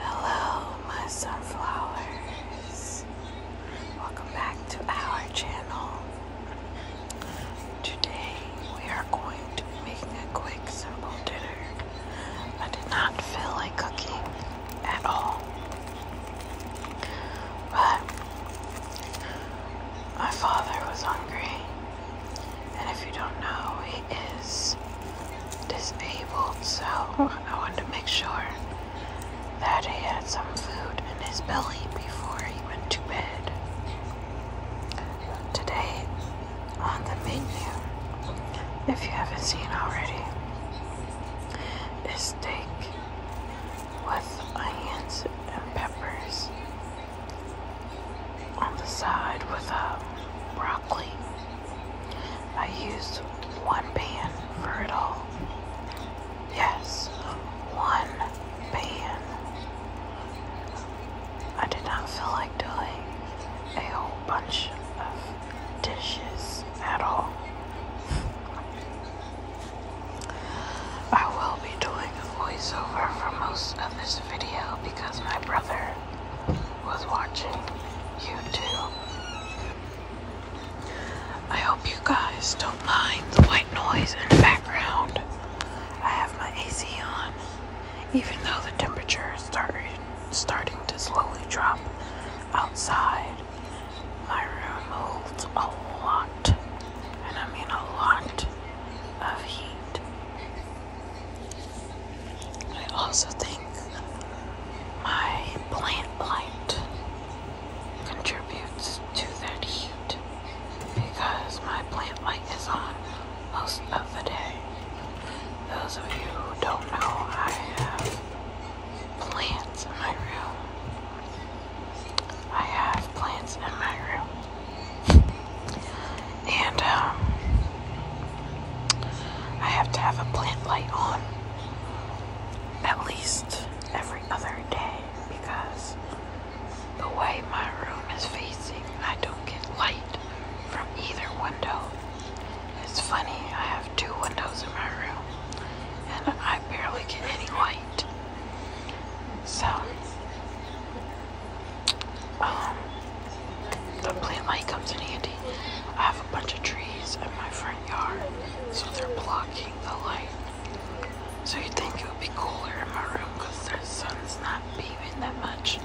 Hello, my sunflowers. Welcome back to our channel. Today we are going to making a quick, simple dinner. I did not feel like cooking at all, but my father was hungry. And if you don't know, he is disabled, so oh. I wanted to make sure that he had some food in his belly before he went to bed. Today, on the menu, if you haven't seen already, is steak with onions and peppers on the side with a broccoli. I used one pan for it all. Yes, one pan. I did not feel like doing a whole bunch of dishes at all. I will be doing a voiceover for most of this video because my brother was watching YouTube. I hope you guys don't mind the white noise in the background. I have my AC on, even though the temperature is starting, starting to slowly drop outside. My room holds a lot, and I mean a lot, of heat. I also think my plant light contributes to that heat because my plant light is on most of the day. Those of you who don't know, I have plants in my room. I have plants in my room. And um, I have to have a plant light on at least every other day because the way my room is facing, I don't get light from either window. It's funny, I have two windows in my room and I barely get any light. So, um, the plant light comes in handy. I have a bunch of trees in my front yard, so they're blocking the light. So you'd think it would be cooler in my room because the sun's not beaming that much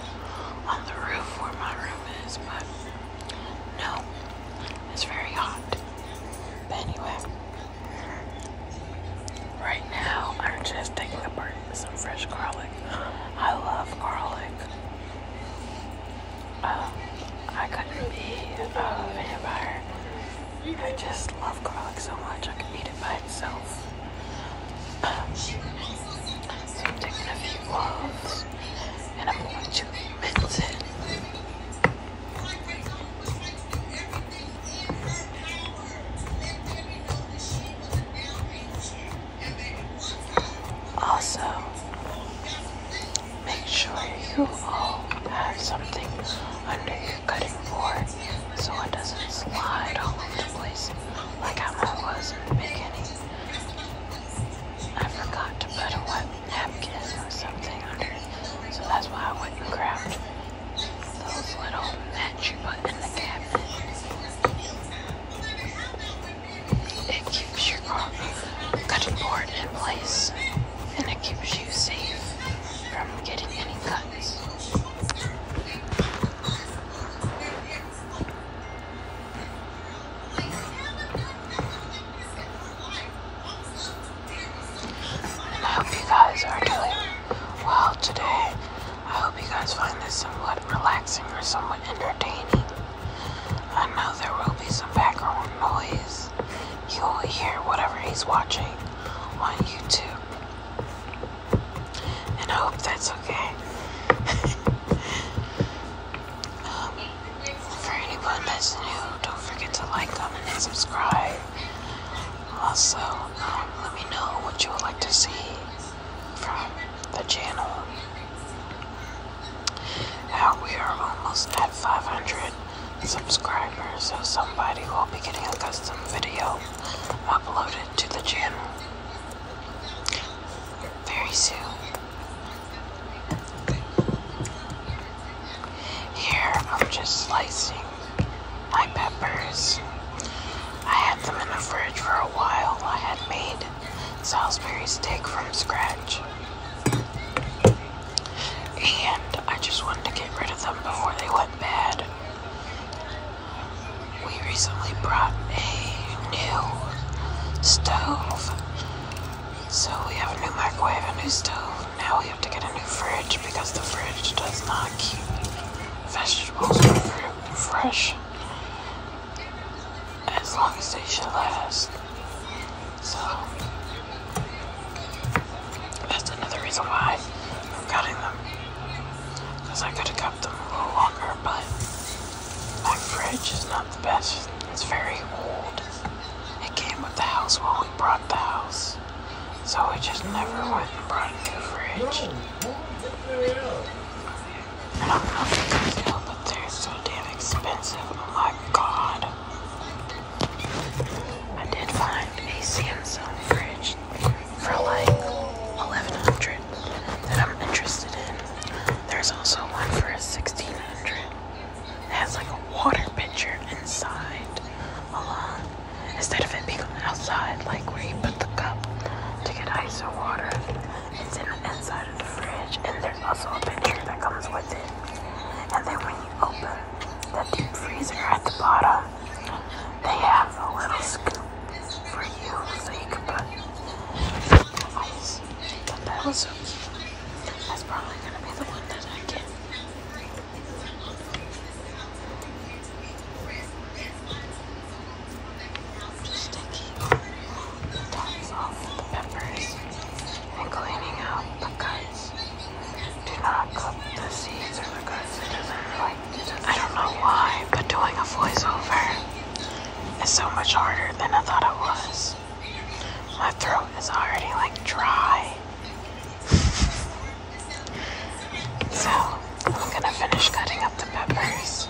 on the roof where my room is, but no, it's very hot. But anyway, right now I'm just taking apart some fresh garlic. I love garlic. Oh, I couldn't be a vampire. I just love garlic so much I could eat it by itself. I'm taking a few cloves and I'm going to mince it. Also, make sure you all have something under your cutting board so it doesn't slide all over the place like how I was in the beginning. I forgot to put a wet napkin or something under it, so that's why I went and those little that you put in the cabinet. It keeps your cutting board in place and it keeps you safe from getting any cuts. I hope you guys are doing well today. I hope you guys find this somewhat relaxing or somewhat entertaining. I know there will be some background noise. You will hear whatever he's watching on YouTube. And I hope that's okay. for anyone that's new, don't forget to like, comment, and subscribe. Also, um, let me know what you would like to see from the channel. Now we are almost at 500 subscribers, so somebody will be getting a custom video uploaded to the channel very soon. Here I'm just slicing my peppers. I had them in the fridge for a while. I had made Salisbury steak from scratch. And I just wanted to get rid of them before they went bad. We recently brought a new stove. So we have a new microwave, a new stove. Now we have to get a new fridge because the fridge does not keep vegetables or fruit fresh as long as they should last. So that's another reason why I'm cutting them. Because I could have kept them a little longer, but my fridge is not the best. It's very old. It came with the house when we bought the house. So we just never went and brought a new fridge. I don't Still, but they're so damn expensive. Oh my god. I did find a Samsung fridge for like 1100 that I'm interested in. There's also one for 1600 that has like a water pitcher inside along instead of it being outside like where you put the cup to get ice or water it's in the inside of the fridge, and there's also a picture that comes with it. And then when you open the deep freezer at the bottom, they have a little scoop for you so you But that was so That's probably gonna be the one that I get sticky tops off the peppers and cleaning out the guts. Do not cook the seeds or the guts. I don't know why, but doing a voiceover is so much harder than I thought it was. My throat is already like dry. so I'm gonna finish cutting up the peppers.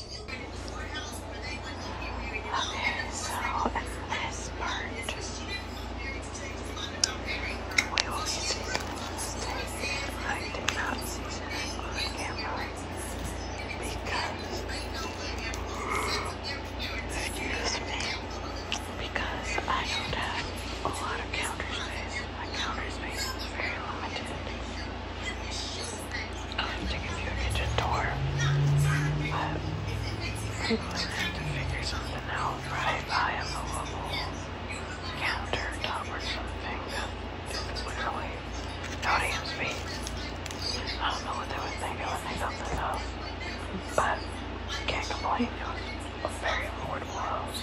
Okay, so in part, we will be I did not season it because, excuse me, because I don't have a lot of counter space. My counter space is very limited um, to give you a kitchen tour. But we're going to have to figure something out. Probably buy a movable countertop or something that is literally no damn space. I don't know what they would think of when they got this house, but I can't complain. It was a very affordable house.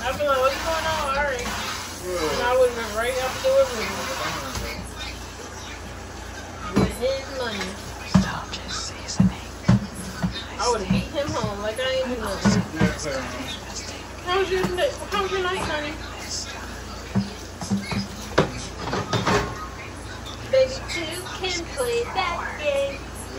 I'd like, what's going on? All right. And I would have been right up to it with his money. Stop just seasoning. I would have beat him home like I ain't even How was your, how was your night, honey? Baby two can play that game.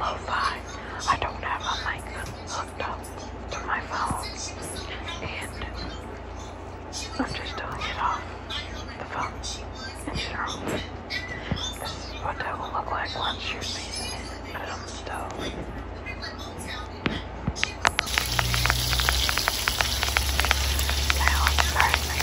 lo-fi. I don't have a mic hooked up to my phone, and I'm just doing it off the phone in general. This is what that will look like once you're it. Put it on the stove. Now I'm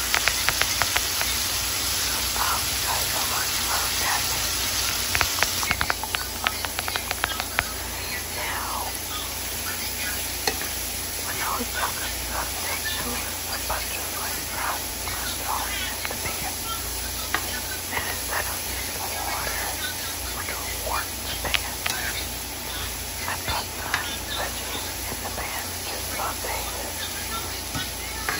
Um, you guys are love that. Now, when I was talking about sexual with butterfly brown crystals at the beginning, and instead of using water, which will warm the pan, I put my veggies in the pan just about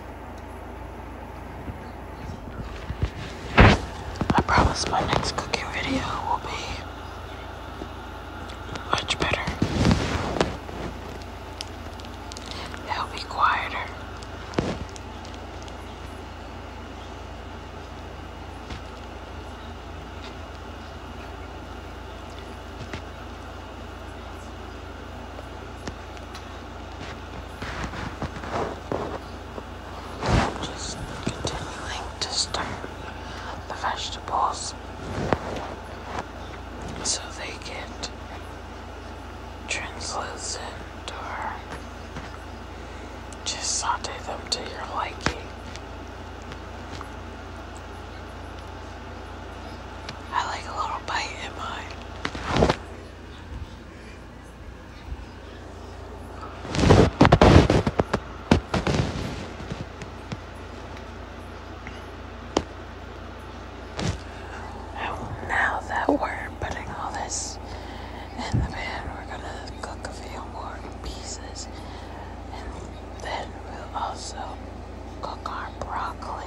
I promise my next cooking video will be much better. It'll be quieter. Just continuing to stir the vegetables so they get translucent or just saute them to your liking. I like a little bite in mine. Now that we're putting all this in the pan, we're gonna cook a few more pieces, and then we'll also cook our broccoli.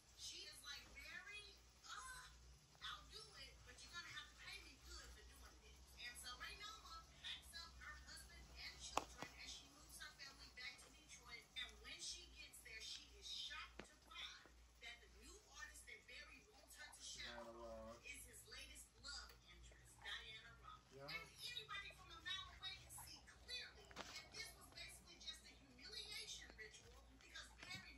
She is like very, uh, I'll do it, but you're gonna have to pay me good for doing this. And so Raynova packs up her husband and children and she moves her family back to Detroit. And when she gets there, she is shocked to find that the new artist that Barry wants her to shadow is his latest love interest, Diana Rock. And anybody from a can see clearly that this was basically just a humiliation ritual because Barry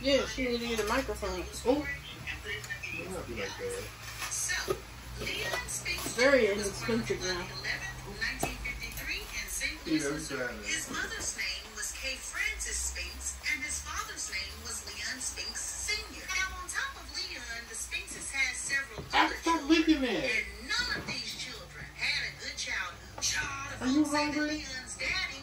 Yeah, she needed a microphone. Oh. very inexpensive now. His mother's name was Kay Francis Spinks, and his father's name was Leon Spinks Sr. Now, on top of Leon, the Spinkses had several other children, and none of Are you hungry?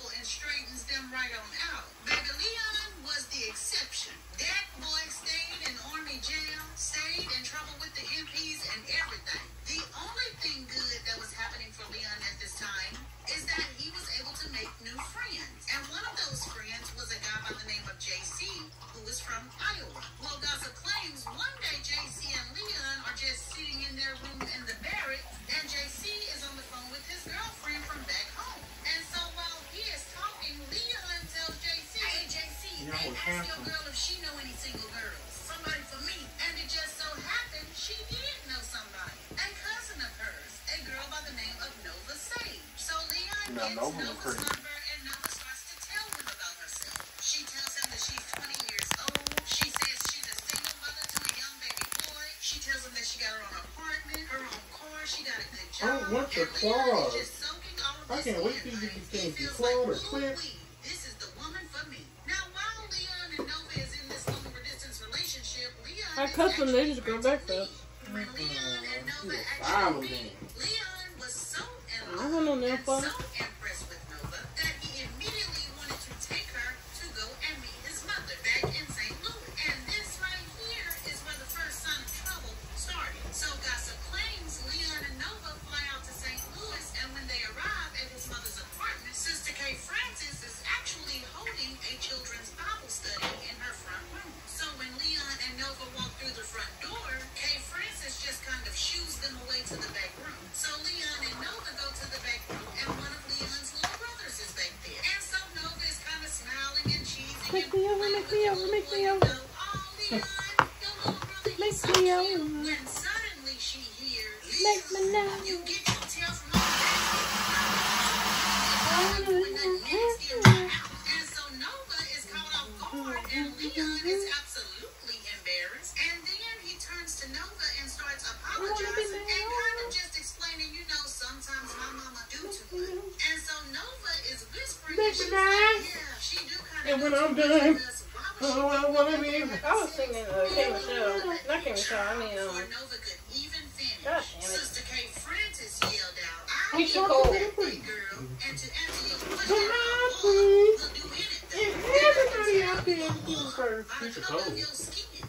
and straightens them right on out. Baby Leon was the exception. That boy stayed in Army jail, stayed in trouble with the MPs and everything. The only thing good that was happening for Leon at this time is that he was able to make new friends. And one of those friends was a guy by the name of JC, who was from Iowa. Well, gossip claims one day JC and Leon are just sitting in their room in the barracks, and JC is on the phone with his girl girlfriend from back home. And so while he is talking, Leon tells JC, Hey, JC, they asked your girl if she knew any single girls. Somebody for me. And it just so happened she did know somebody. A cousin of hers, a girl by the name of Nova Sage. So Leon gets no, Nova's crazy. number and Nova starts to tell him about herself. She tells him that she's 20 years old. She says she's a single mother to a young young baby boy. She tells him that she got her own apartment, her own car, she got a good oh, job. I don't want your claws. I can't wait for you to get these things clawed or clipped. This is the woman for me. Now, while Leon and Nova is in this long distance relationship, Leon. I cut them, they just go back though. Leon and uh-uh, Nova actually. Leon was so in love. I don't know, so impressed with Nova that he immediately wanted to take her to go and meet his mother back in St. Louis. And this right here is where the first sign of trouble started. So gossip claims Leon and Nova fly out to St. Louis, and when they arrive at his mother's apartment, Sister Kay Francis is actually holding a children's Bible study in her front room. So when Leon and Nova walk through the front door, Kay Francis just kind of shoos them away to the back room. So Leon and Nova go to the back room, and one of Leon's little brothers is there like this. And so Nova is kind of smiling and cheesing. Make me over, make me over, make me over. Make me over. When suddenly she hears, make me now. You get your tail from all the oh, when the next And so Nova is caught off guard, and Leon is absolutely embarrassed. And then he turns to Nova over and starts apologizing and kind of just explaining, you know, sometimes my mama do too much. And so Nova is whispering and she's like, yeah, she do kind of And when I'm done, oh, I want to be. I was singing uh, Kim Michelle. Not Kim Michelle, I mean, um. Nova could even finish. God damn it. Sister Kay Francis yelled out, I'll be cold. girl. And to answer your question, we'll do anything. Everybody out there is first. By the color of your skin.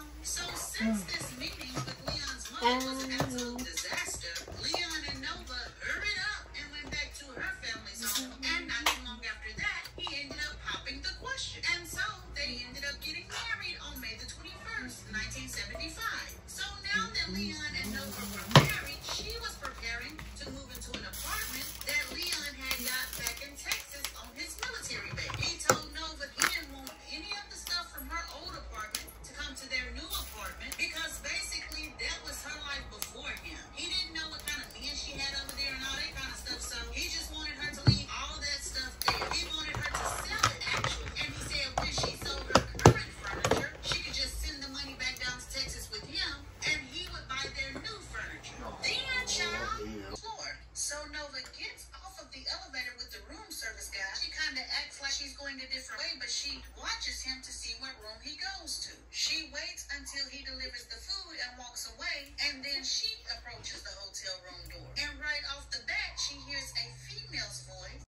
So since this meeting with Leon's mother was an absolute disaster, Leon and Nova hurried up and went back to her family's home. And not too long after that, he ended up popping the question. And so they ended up getting married on May the 21st, 1975. So now that Leon and Nova were married, she was preparing to move into an apartment that Leon had got back in Texas his military base. He told Nova he didn't want any of the stuff from her old apartment to come to their new apartment because basically that was her life before him. He didn't know what kind of men she had over there and all that kind of stuff, so he just wanted her to leave all that stuff there. He wanted her to sell it, actually. And he said when she sold her current furniture, she could just send the money back down to Texas with him and he would buy their new furniture. Then, child, Lord. So Nova gets off of the elevator with the room service guy. She kind of acts like she's going a different way, but she watches him to see what room he goes to. She waits until he delivers the food and walks away, and then she approaches the hotel room door. And right off the bat, she hears a female's voice.